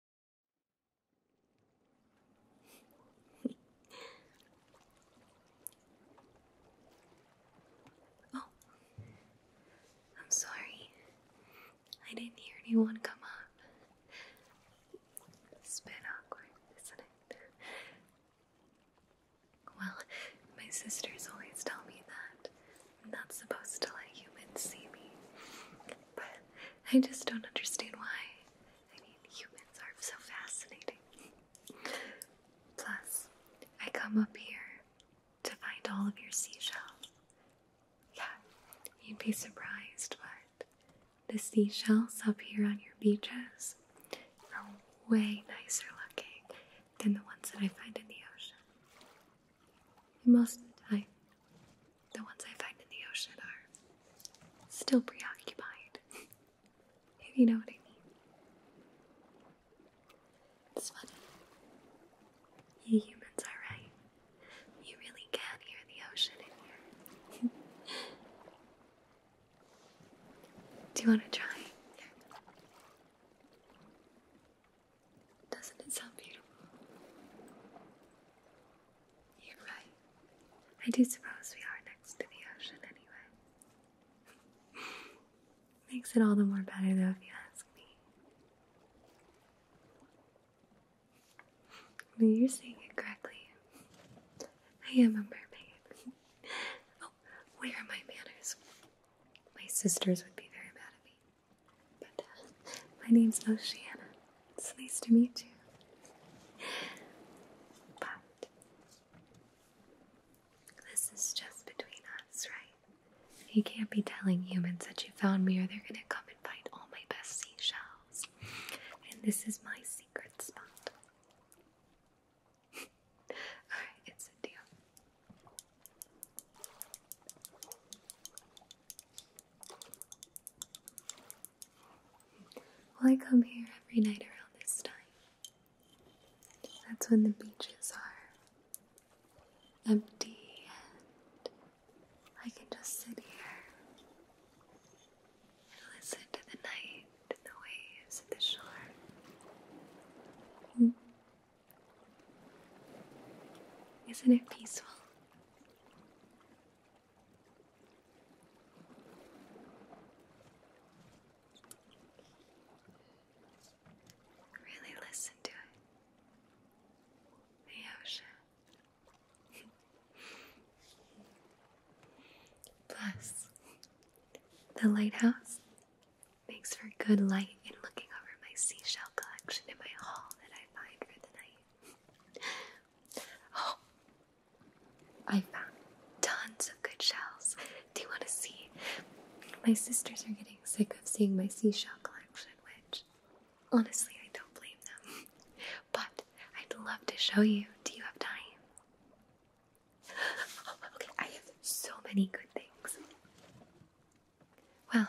oh, I'm sorry. I didn't hear anyone come up. It's awkward, isn't it? Well, my sisters always tell me that I'm not supposed to let humans see me, but I just don't understand why. I mean, humans are so fascinating. Plus, I come up here to find all of your seashells. Yeah, you'd be surprised, but the seashells up here on your beaches are way nicer looking than the ones that I find in the ocean. You must die. The ones I find in the ocean are still preoccupied, if you know what I mean. It's funny. You humans are right. You really can hear the ocean in here. Do you want to try? Doesn't it sound beautiful? You're right. I do suppose we are next to the ocean anyway. Makes it all the more better though, if you ask me. Well, you're saying it correctly. I am a mermaid. oh, where are my manners? My sisters would be very mad at me. But uh, my name's Oceana. It's nice to meet you. But this is just between us, right? You can't be telling humans that you found me or they're gonna come and find all my best seashells. And this is my secret spot. Alright, it's a deal. Well, I come here every night around this time. That's when the beaches are empty and I can just sit here and listen to the night and the waves at the shore. Hmm. Isn't it peaceful? Really listen to it. The ocean. Plus, the lighthouse makes for good light in looking over my seashell collection in my hall that I find for the night. oh, I found tons of good shells. Do you want to see? My sisters are getting sick of seeing my seashell collection, which honestly I don't blame them. But I'd love to show you. Do you have time? okay, I have so many good things. Well,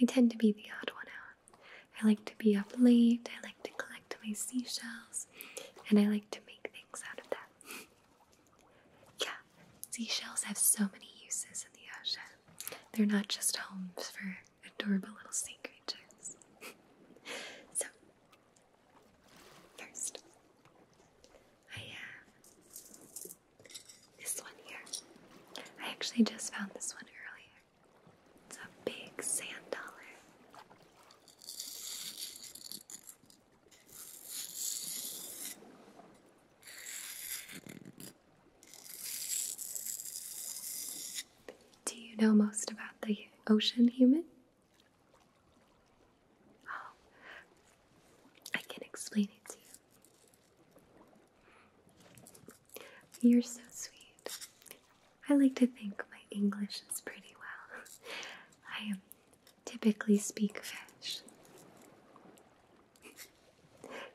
I tend to be the odd one out. I like to be up late, I like to collect my seashells, and I like to make things out of that. yeah, seashells have so many uses in the ocean. They're not just homes for adorable little sea creatures. so, first, I this one here. I actually just found this one earlier. It's a big sand dollar. Do you know most about the ocean human? Oh, I can explain it to you. You're so sweet. I like to think my English is pretty well. I um, typically speak French.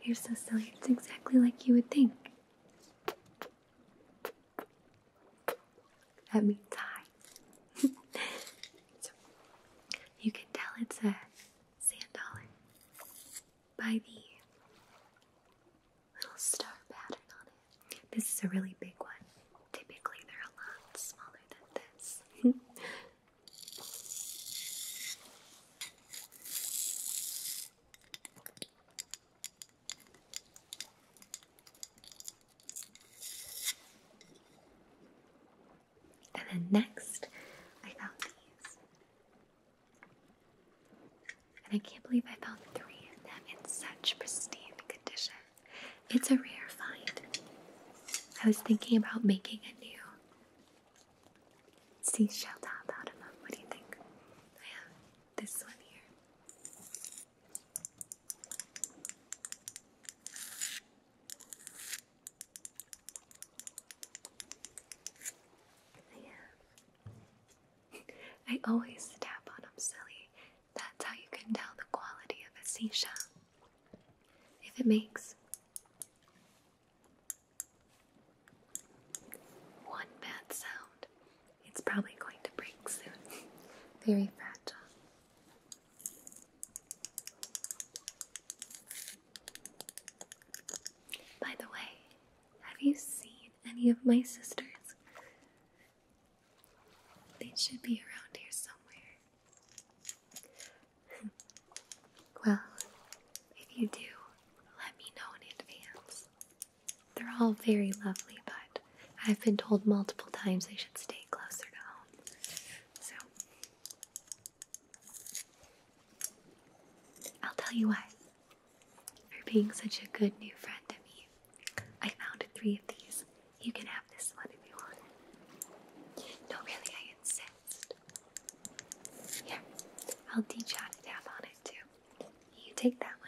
You're so silly. It's exactly like you would think. That means hi. you can tell it's a sand dollar by the little star pattern on it. This is a really big one. Typically, they're a lot smaller than this. and then next, I found these. And I can't believe I found three of them in such pristine condition. It's a rare find. I was thinking about making a new seashell top out of them. What do you think? I have this one here. I always tap on them, silly. That's how you can tell the quality of a seashell. If it makes one bad sound, it's probably going to break soon. Very fragile. By the way, have you seen any of my sisters? They should be around here somewhere. well, if you do, let me know in advance. They're all very lovely, but I've been told multiple times they should stay closer to home. So, I'll tell you what, for being such a good new friend to me, I found three of these. You can have this one if you want. No, really, I insist. Here, I'll teach you how to tap on it too. You take that one.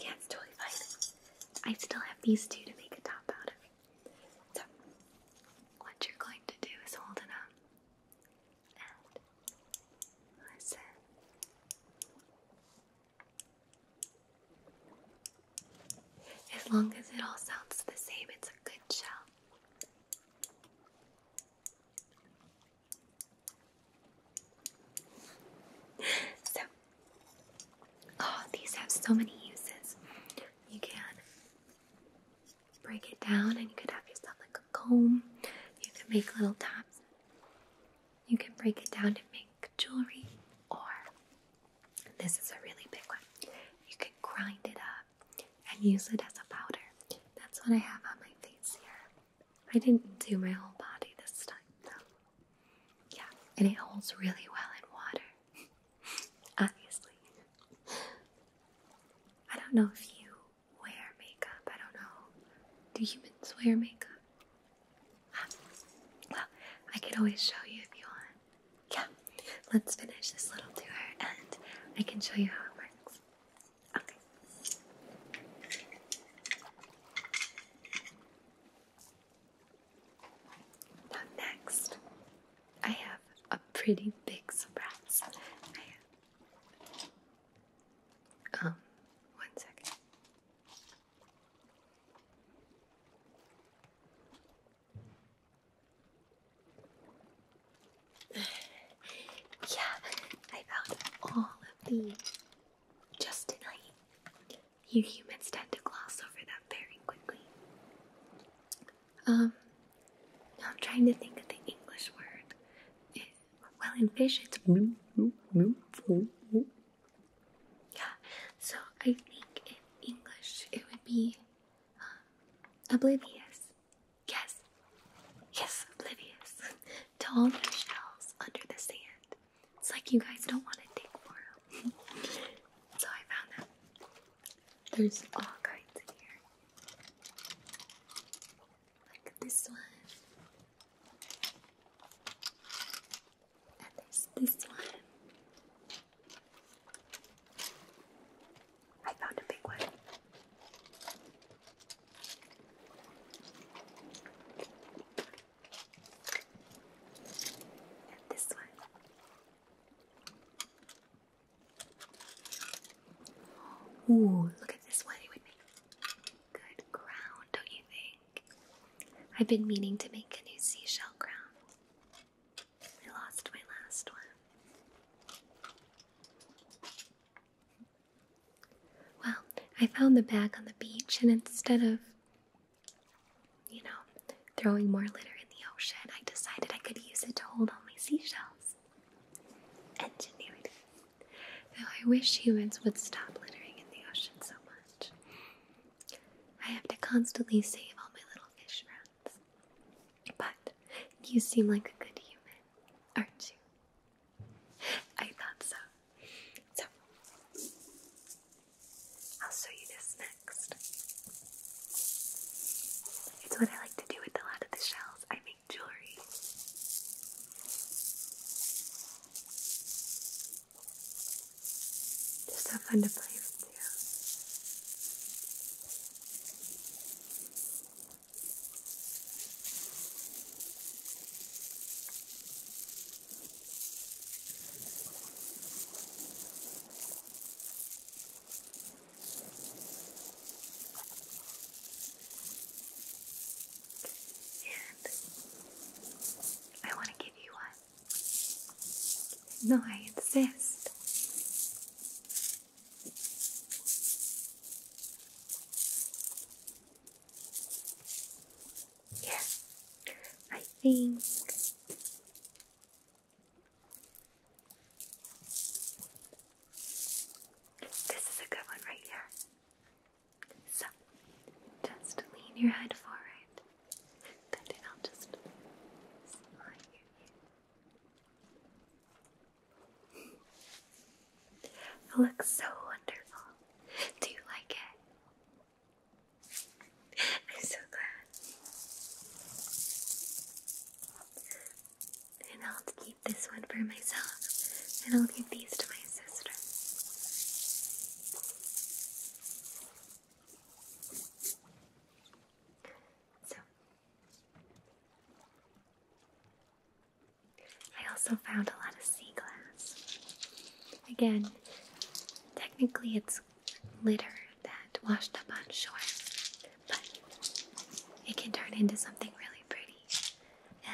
yeah, it's totally fine. I still have these two to make a top out of so, what you're going to do is hold it up and listen. As long as it all sounds the same, it's a good shout. So, oh, these have so many uses. You can break it down and you could have yourself like a comb. You can make little tabs. You can break it down to make jewelry or this is a really big one. You can grind it up and use it as a powder. That's what I have on my face here. I didn't do my whole body this time though. Yeah, and it holds really well in water. Obviously. I don't know if you wear makeup. I don't know. Do humans wear makeup? Um, well, I could always show you if you want. Yeah, let's finish this little tour and I can show you how it works. Okay. Now, next, I have a pretty big surprise. Um, one second. yeah, I found all of these just tonight. You humans tend to gloss over them very quickly. Um, I'm trying to think of the English word. well, in fish, it's yeah. So I think in English it would be uh, oblivious. Yes, yes, oblivious. to all the shells under the sand. It's like you guys don't want to dig for them. so I found that there's all kinds in here. Like this one. And there's this one. I found a big one. this one. Ooh, look at this one. It would make good crown, don't you think? I've been meaning to make a new seashell ground. I lost my last one. Well, I found the bag on the beach, and instead of, you know, throwing more litter in the ocean, I decided I could use it to hold all my seashells. Ingenuity. Though I wish humans would stop littering in the ocean so much. I have to constantly save all my little fish friends. But you seem like a good human, aren't you? I thought so. So, I'll show you this now next. It's what I like to do with a lot of the shells. I make jewelry. Just so fun to play with too. And I want to give you one. No, I insist. Yes, I think this is a good one right here. So, just lean your head forward, and then I'll just slide your It looks so wonderful. Do you like it? I'm so glad. And I'll keep this one for myself, and I'll give these to my sister. So, I also found a lot of sea glass. Again, technically it's litter that washed up on shore, but it can turn into something really pretty,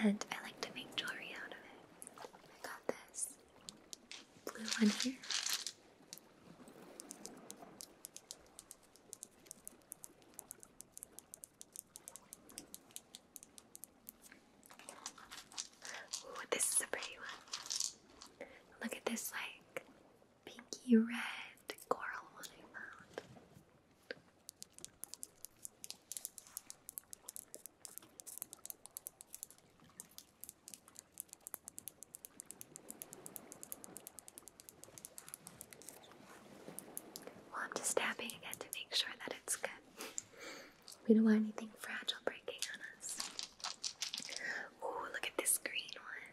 and I like to make jewelry out of it. I got this blue one here. this is a pretty one. Look at this like pinky red coral one I found. Well, I'm just tapping again to make sure that it's good. We don't want anything fragile breaking on us. Ooh, look at this green one.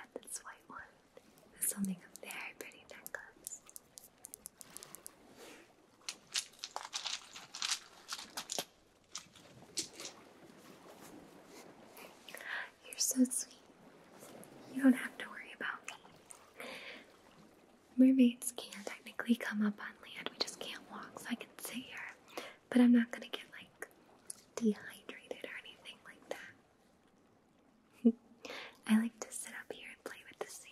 And this white one Something a very pretty necklace. You're so sweet. You don't have to worry about me. Mermaids can technically come up on land, we just can't walk, so I can sit here. But I'm not gonna get like dehydrated or anything like that. I like to sit up here and play with the sand.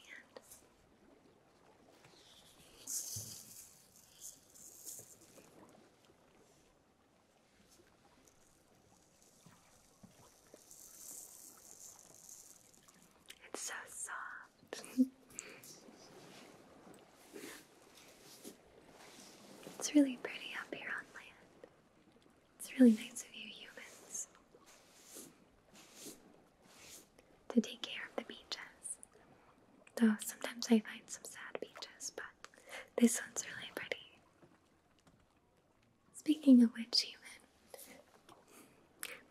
It's so soft. it's really pretty up here on land. It's really nice of you humans to take care of the beaches. Though sometimes I find some sad beaches, but this one's really pretty. Speaking of which, human,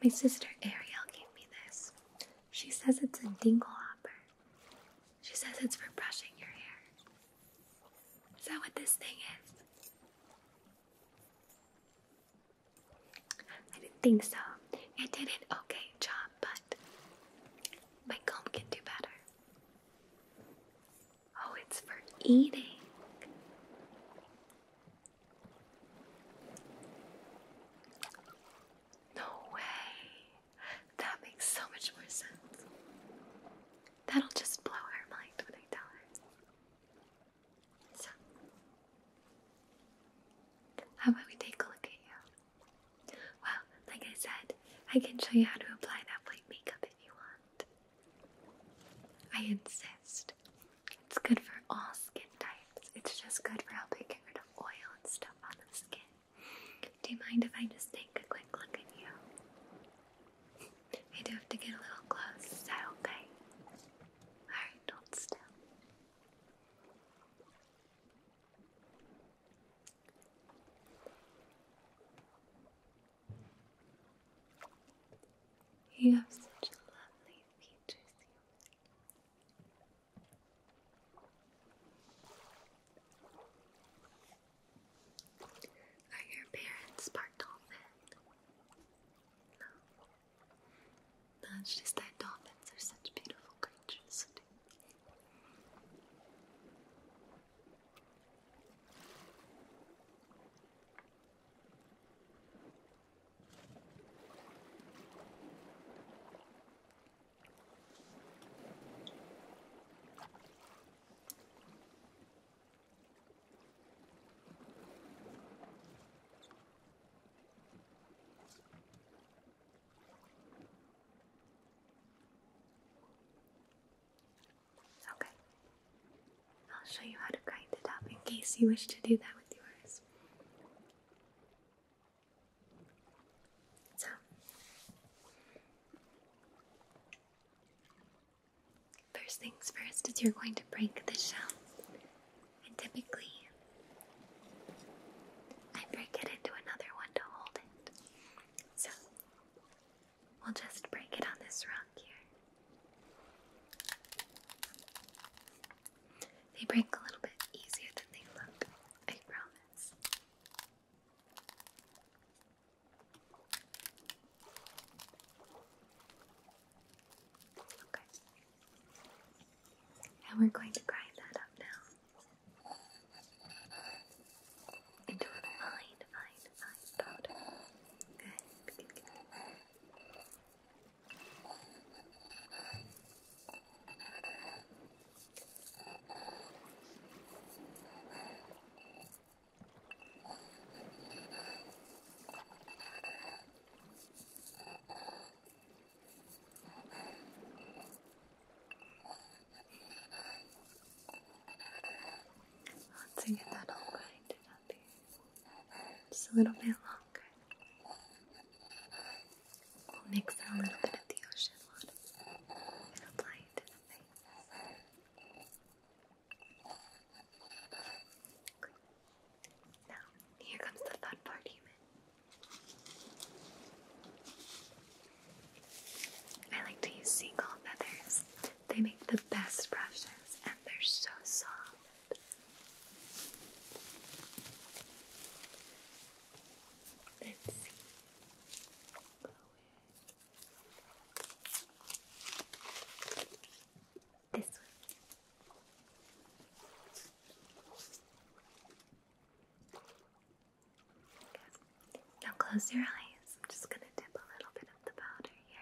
my sister Ariel gave me this. She says it's a dingle hopper. She says it's for brushing your hair. Is that what this thing is? I didn't think so. It did an okay job, but my comb can do better. Oh, it's for eating. No way. That makes so much more sense. That'll just blow her mind when I tell her how about we take a look at you? Well, like I said, I can show you how to apply that white makeup if you want. I insist. It's good for all skin types. It's just good for helping get rid of oil and stuff on the skin. Do you mind if I just take a quick look at you? I do have to get a little close. Is that okay? Alright, hold still. You have such lovely features. Are your parents part dolphin? That's just that dolphins are such beautiful creatures. Okay. I'll show you how to grind it up in case you wish to do that with yours. So, First things first is you're going to break the shell. And typically, I break it into another one to hold it. So, we'll just break it on this rock here. They break a little bit easier than they look, I promise. Okay. And we're going to grind that up now into a fine, fine, fine powder. Good, once I get that all grind it up here, just a little bit longer, we'll mix in a little bit of the ocean water and apply it the now, here comes the fun part, human. I like to use seagull feathers. They make the best brushes and they're so soft. Let's see. Now close your eyes. I'm just going to dip a little bit of the powder here.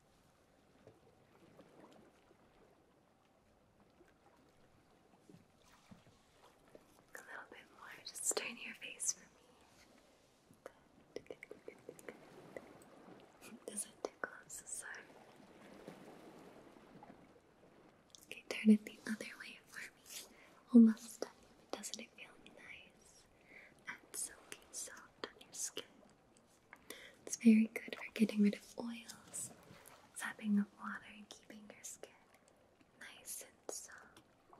A little bit more, just turn your face for me. Doesn't tickle, so Okay, turn it the other way for me. Almost done. Doesn't it feel nice and silky soft on your skin? It's very good for getting rid of oils, sapping of water, and keeping your skin nice and soft.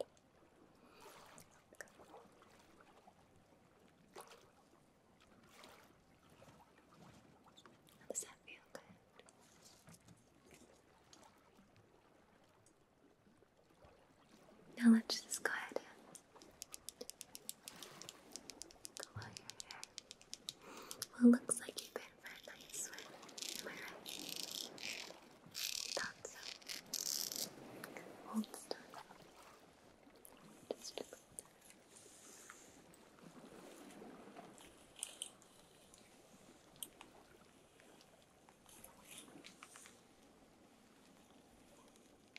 does that feel good? Now let's just go ahead well, looks like you've been for a nice swim. Am I right? Thought so. Hold still. Just look at that.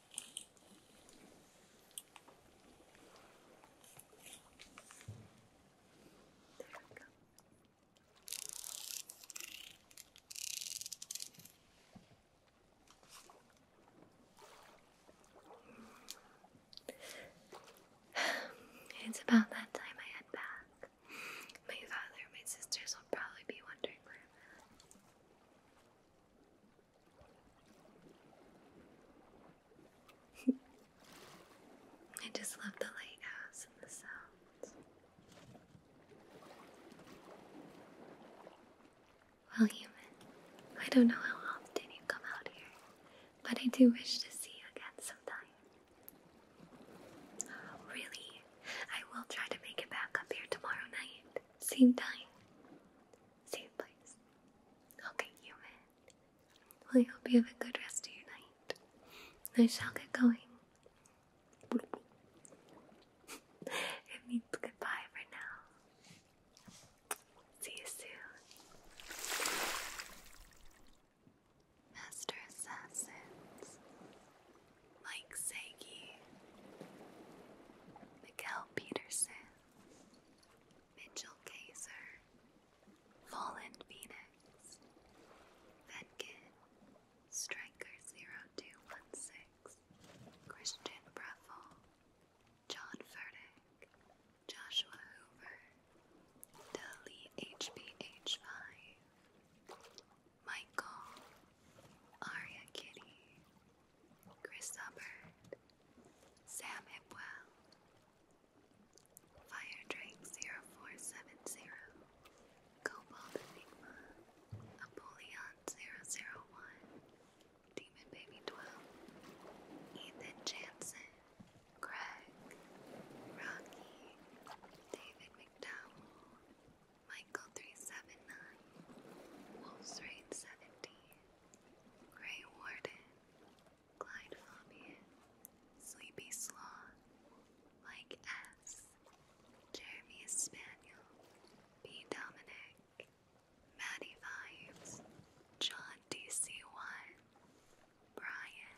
It's about that time I head back. My father and my sisters will probably be wondering where I'm I just love the lighthouse and the sounds. Well, human, I don't know how often you come out here, but I do wish to see you again sometime. really? I will try to make it back up here tomorrow night. Same time, same place. Okay, human. Well, I hope you have a good rest of your night. I shall get going. it means goodbye for now. See you soon. Master Assassins. Mike Sagi, Miguel Peterson, Mitchell Kaiser, Fallen Phoenix, Venkin, Striker0216, Christian Breffel, John Furtick, Joshua Hoover, Deli HBH5, Michael, Aria Kitty, Chris Hubbard, Sam Hipwell, FireDrake0470, Cobalt Enigma, Apollyon001, Demon Baby 12, Ethan Jansen, Craig, Rocky, David McDowell, Michael 379, Wolf's Raid 70, Grey Warden, Clyde Fabian, Sleepy Sloth, Mike S, Jeremy Spaniel, B. Dominic, Maddie Vibes, John DC1, Brian.